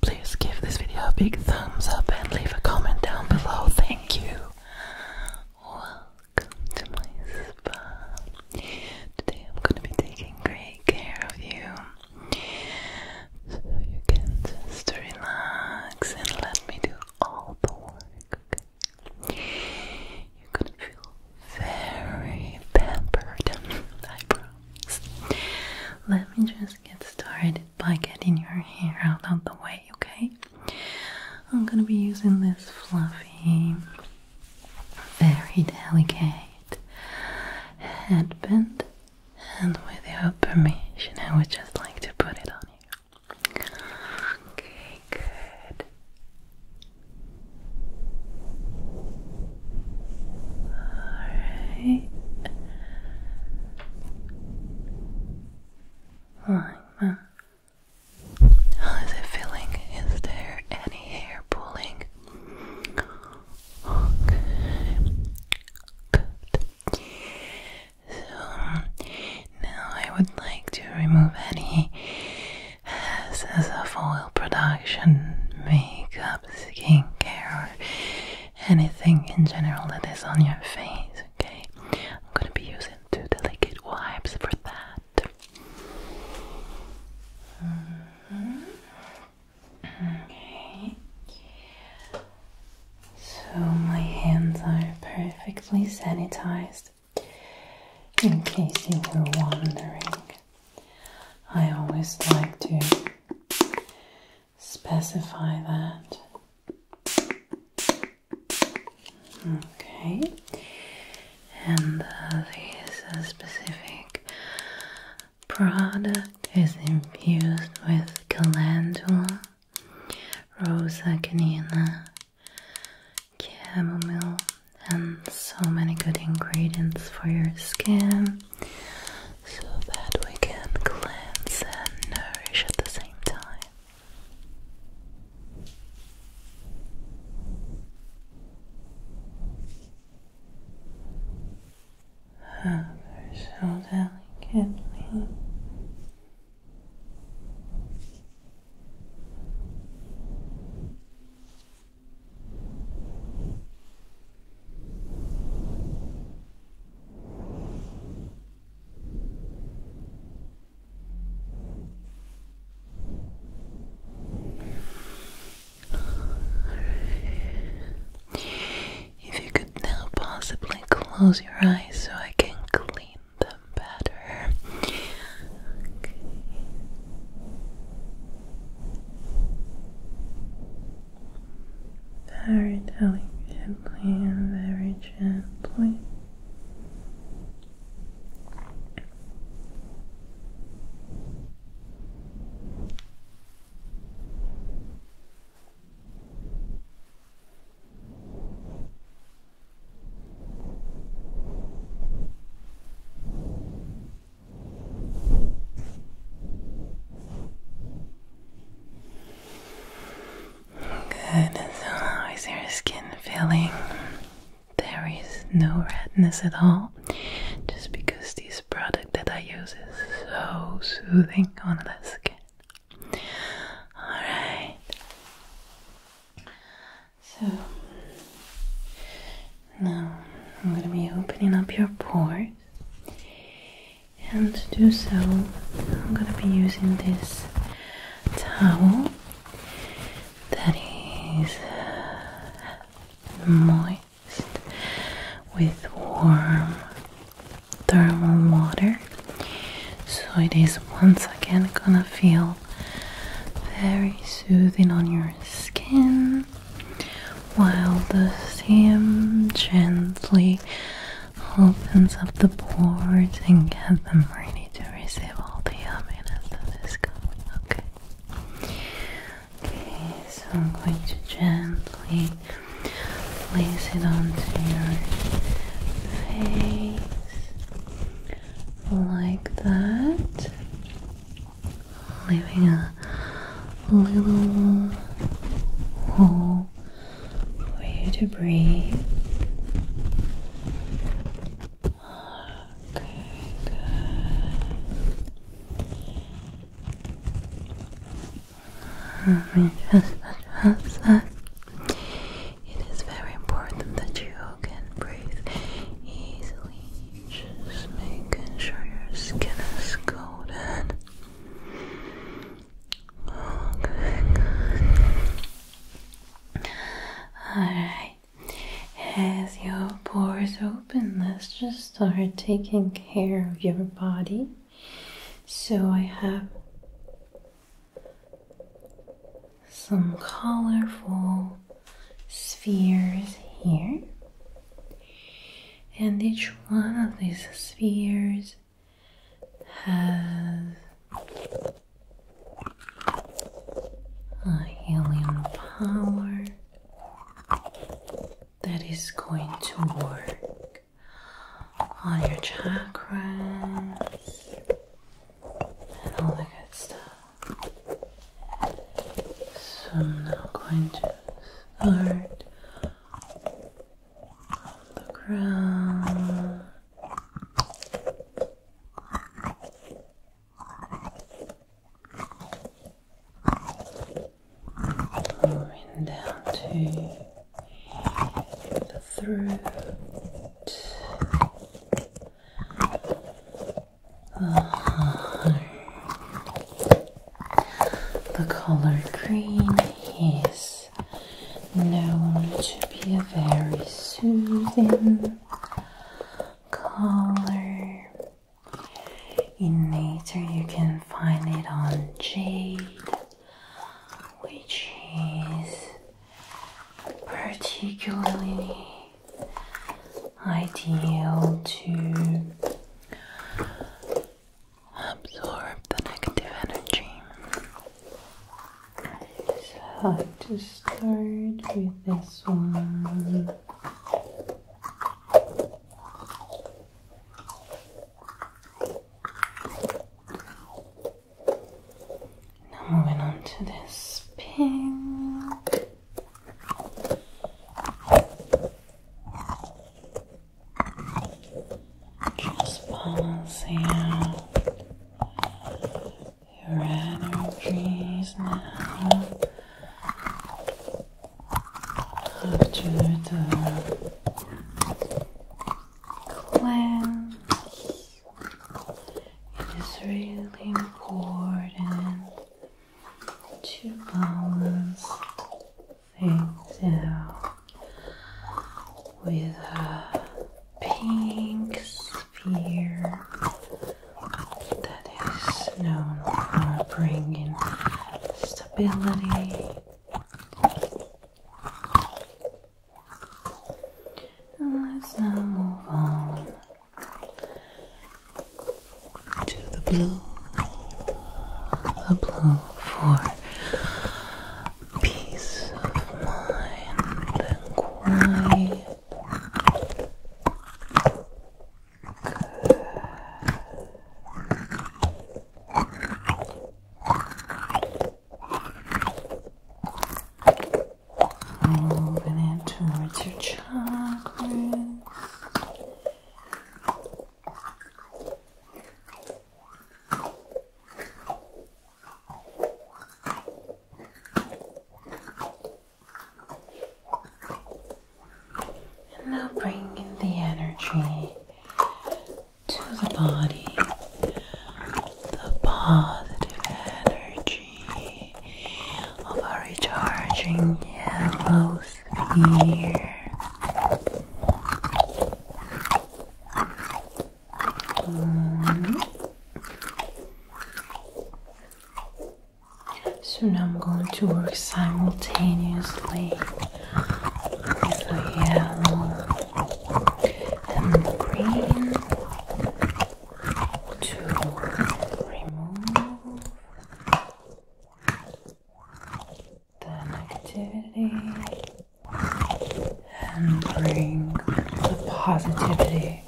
Please give this video a big thumbs up and leave a comment down below. Thank you. Welcome to my spa. Today I'm going to be taking great care of you so you can just relax and let me do all the work. You're going to feel very pampered, I Let me just get started by getting your hair out of the way, okay? I'm gonna be using this fluffy, very delicate headband, and with your permission, I would just like to put it on you. Okay, good. Alright. Like How is it feeling? Is there any hair pulling? Okay. So now I would like to remove any excess of oil production, makeup, skincare, anything in general that is on your face, okay? I'm gonna be using two delicate wipes for that. Mm-hmm. Okay. So my hands are perfectly sanitized. In case you were wondering, I always like to specify that. Okay, and uh, this uh, specific product is infused with calendula, rose canina, chamomile, and so many good ingredients for your skin so that we can cleanse and nourish at the same time. Hover so delicately. If you could now possibly close your eyes so I can clean them better very delicately very gently. Good. how is your skin feeling? There is no redness at all, just because this product that I use is so soothing on the skin. Alright. So, now I'm going to be opening up your pores, and to do so, I'm going to be using this towel that is uh, moist with warm thermal water. So it is once again gonna feel very soothing on your skin while the Sam gently opens up the pores and get them ready to receive all the yumminess that is coming. Okay. Okay, so I'm going to gently place it onto your face like that living a little hole for you to breathe. Okay, good. Let me adjust It is very important that you can breathe easily just making sure your skin is golden. Okay, Alright, as your pores open, let's just start taking care of your body. So, I have some colorful spheres here and each one of these spheres has a healing power that is going to work on your chakras and all that good stuff. So I'm now going to heart the ground. Moving down to the throat, the color green is known to be a very soothing color. In nature, you can find it on jade, which is particularly ideal to absorb the negative energy. So to start with this one. Now moving on to this pink. Just balancing out your energies now. After the cleanse, it is really important to balance things out with a pink sphere that is known for bringing stability. let's now move on to the blue, the blue for peace of mind and quiet. Moving it towards your chakras. And now bring in the energy to the body, the positive energy of a recharging yellow so now I'm going to work simultaneously with the yellow and the green to remove the negativity and bring the positivity.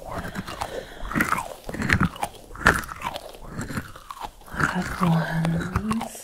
At once.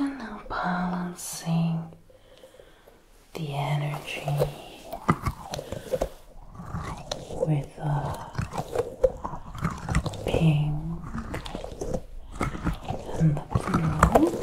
And now balancing the energy with the pink and the blue.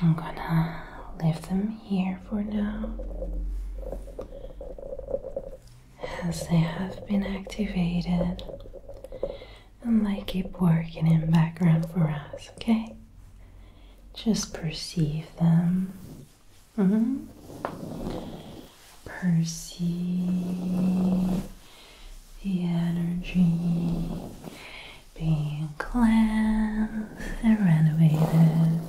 I'm gonna leave them here for now as they have been activated and they keep working in background for us, okay? Just perceive them. -hmm. Perceive the energy being cleansed and renovated.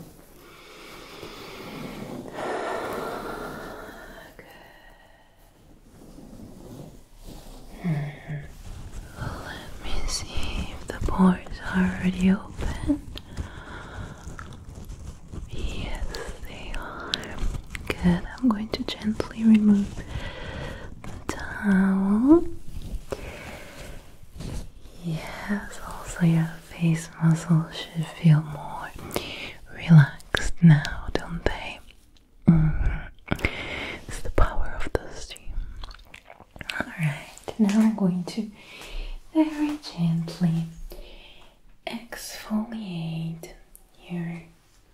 Good. Hmm. Let me see if the pores are already open. Yes, they are. Good. I'm going to gently remove the towel. Yes, also your face muscles should feel more relaxed now, don't they? Mm-hmm. It's the power of the steam. Alright, now I'm going to very gently exfoliate your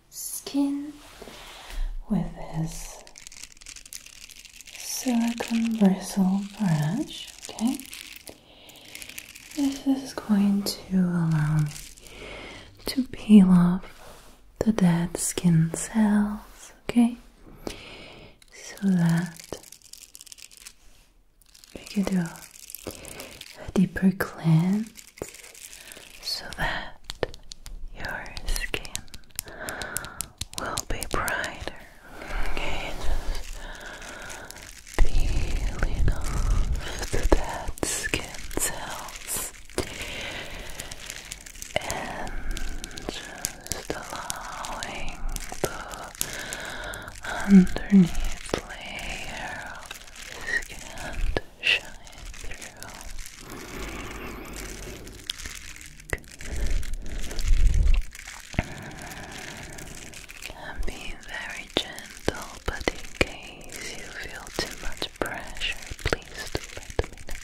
skin with this silicone bristle brush. Okay, this is going to allow me to peel off the dead skin cells. Okay, so that we can do a deeper cleanse so that your skin will be brighter. just peeling off the dead skin cells and just allowing the underneath layer of skin to shine through. And be very gentle, but in case you feel too much pressure, please let me know.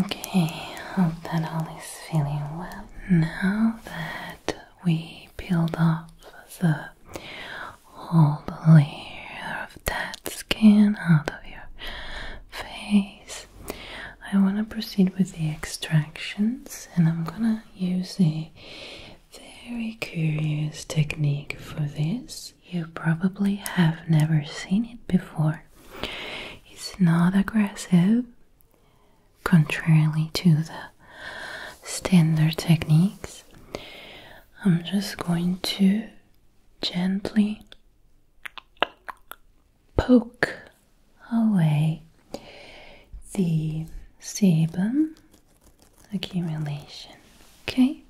Okay, hope that all is feeling well. Now that we peeled off the whole layer of that skin out of your face, I want to proceed with the extractions and I'm gonna use the very curious technique for this. You probably have never seen it before. It's not aggressive, contrary to the standard techniques. I'm just going to gently poke away the sebum accumulation. Okay?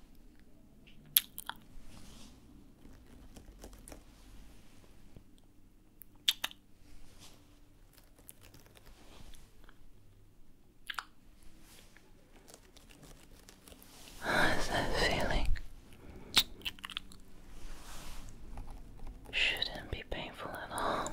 How's that feeling? Shouldn't be painful at all.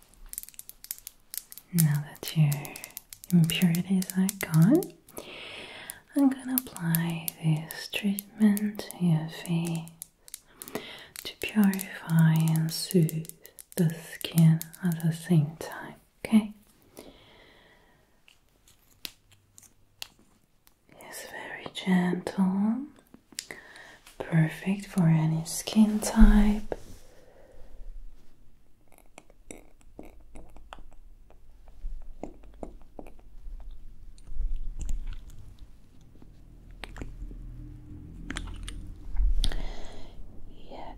Now that your impurities are gone, I'm gonna apply this treatment to your face to purify and soothe the skin at the same time, okay? It's very gentle Perfect for any skin type. Yet.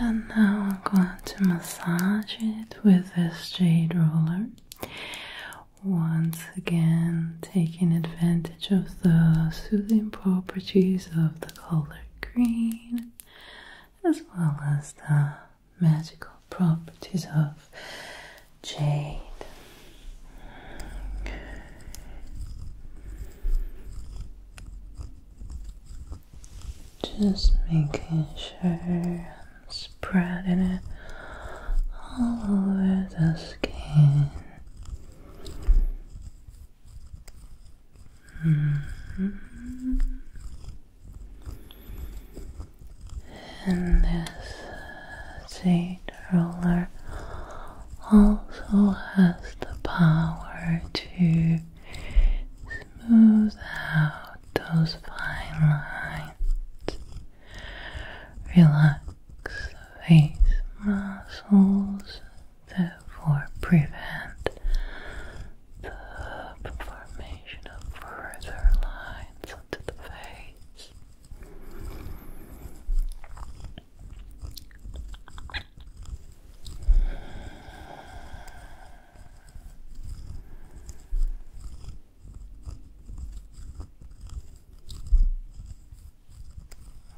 And now I'm going to massage it with this jade roller. Once again, taking advantage of the soothing properties of the color green as well as the magical properties of jade. Just making sure I'm spreading it all over the skin. Mm-hmm. And this jade uh, roller also has the power to smooth out those fine lines, relax the face muscles, therefore prevent the formation of further lines onto the face.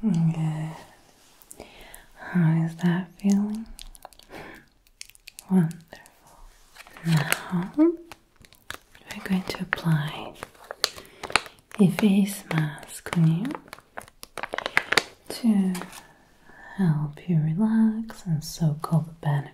Good. How is that feeling? Wonderful. Now we're going to apply a face mask on you to help you relax and soak up the benefits.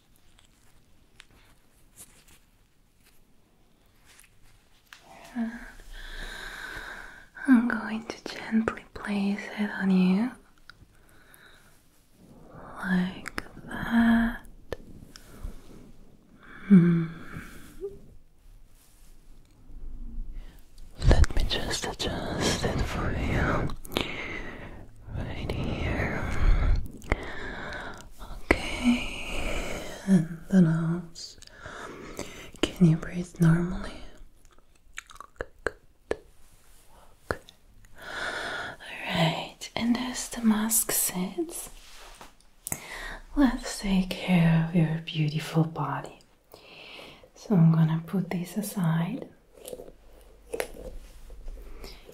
I'm going to gently place it on you like that. Hmm. Let me just adjust it for you right here. Okay, and the nose. Can you breathe normally? good. Okay. Alright, and as the mask sits, let's take care of your beautiful body. So I'm gonna put this aside.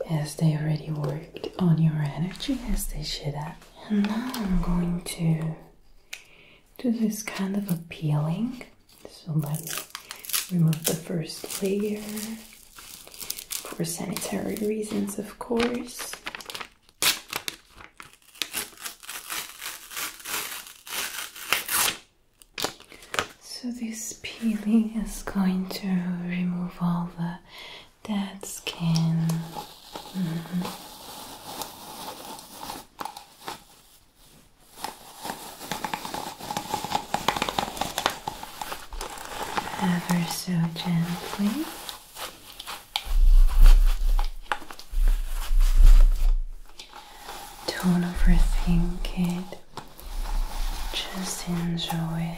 As they already worked on your energy as they should have. And now I'm going to do this kind of a peeling. So let us remove the first layer for sanitary reasons, of course. So, this peeling is going to remove all the uh, skin. Mm-hmm. Ever so gently. Don't overthink it. Just enjoy it.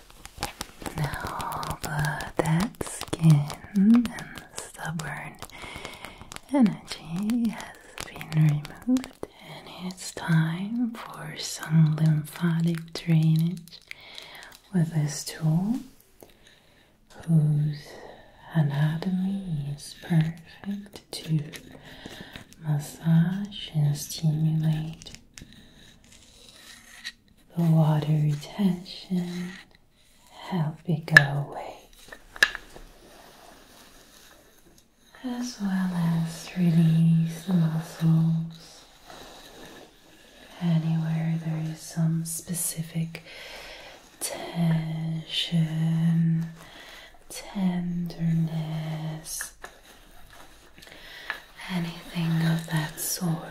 Now, but uh, that skin and stubborn energy has been removed, and it's time for some lymphatic drainage with this tool whose anatomy is perfect to massage and stimulate the water retention, help it go away, as well as release the muscles anywhere there is some specific tension, tenderness anything of that sort.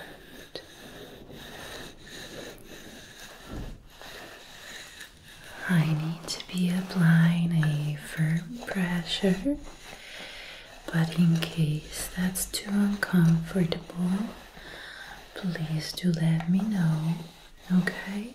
I need to be applying a firm pressure, but in case that's too uncomfortable, please do let me know, okay?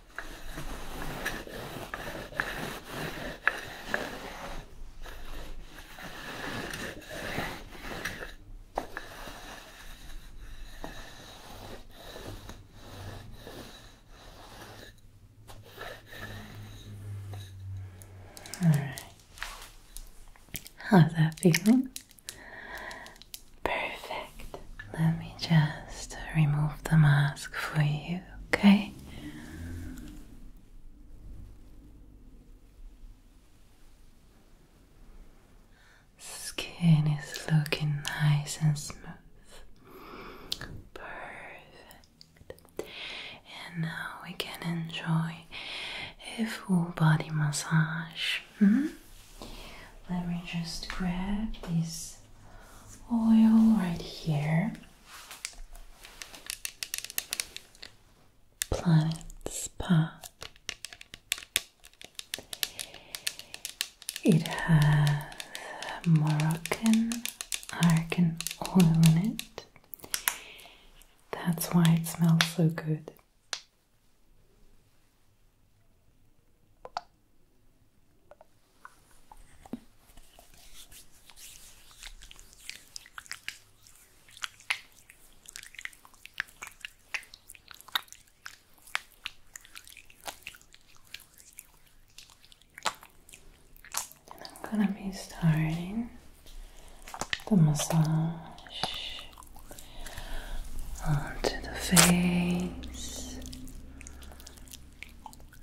All right. How's that feeling? Perfect. Let me just remove the mask for you okay? Skin is looking nice and smooth. Perfect. And now we can enjoy a full body massage. Hmm? Let me just grab this oil right here. Planet Spa. It has Moroccan argan oil in it. That's why it smells so good. I'm going to be starting the massage onto the face Okay,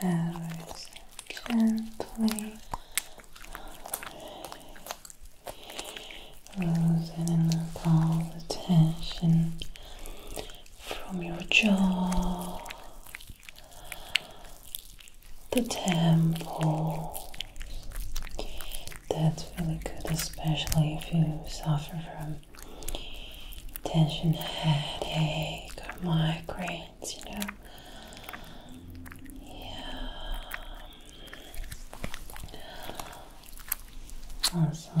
that is gently loosening up all the tension from your jaw the temple. That's really good, especially if you suffer from tension, headache, or migraines, you know. Yeah. Also,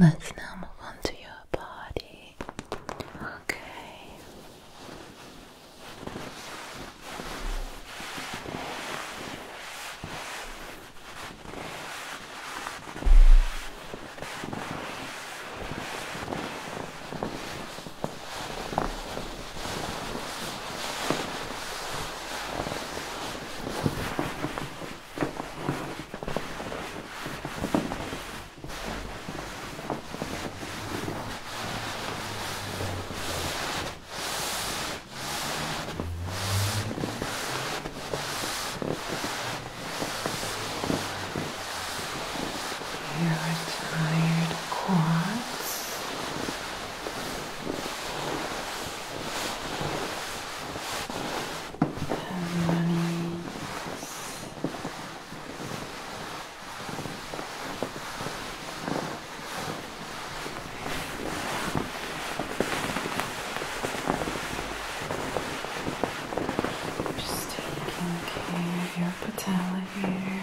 Let's now move on to your body. Okay. Your tired quads ceremonies. Just taking care of your patella here.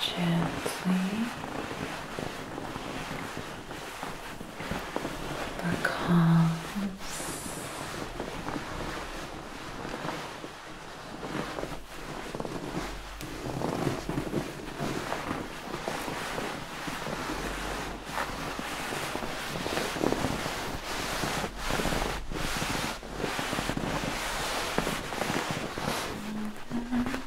Gently because like that.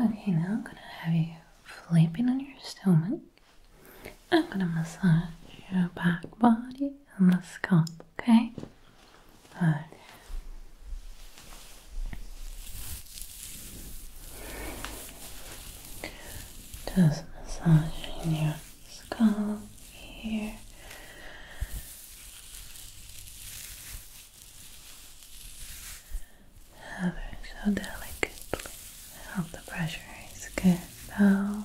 Okay, now I'm gonna have you flipping on your stomach. I'm gonna massage your back body and the scalp, okay? Just massaging your scalp here. Ever so delicately. Help the pressure is good now.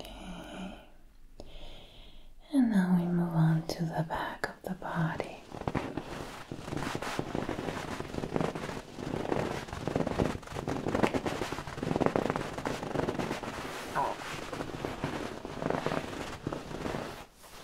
Okay. And now we move on to the back of the body. Oh.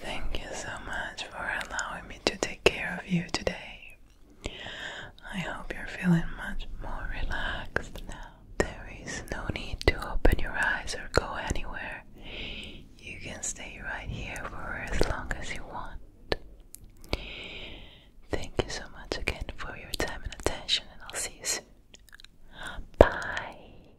Thank you so much for allowing me to take care of you today. I hope you're feeling much more relaxed now. There is no need to open your eyes or go anywhere. You can stay right here for as long as you want. Thank you so much again for your time and attention, and I'll see you soon. Bye.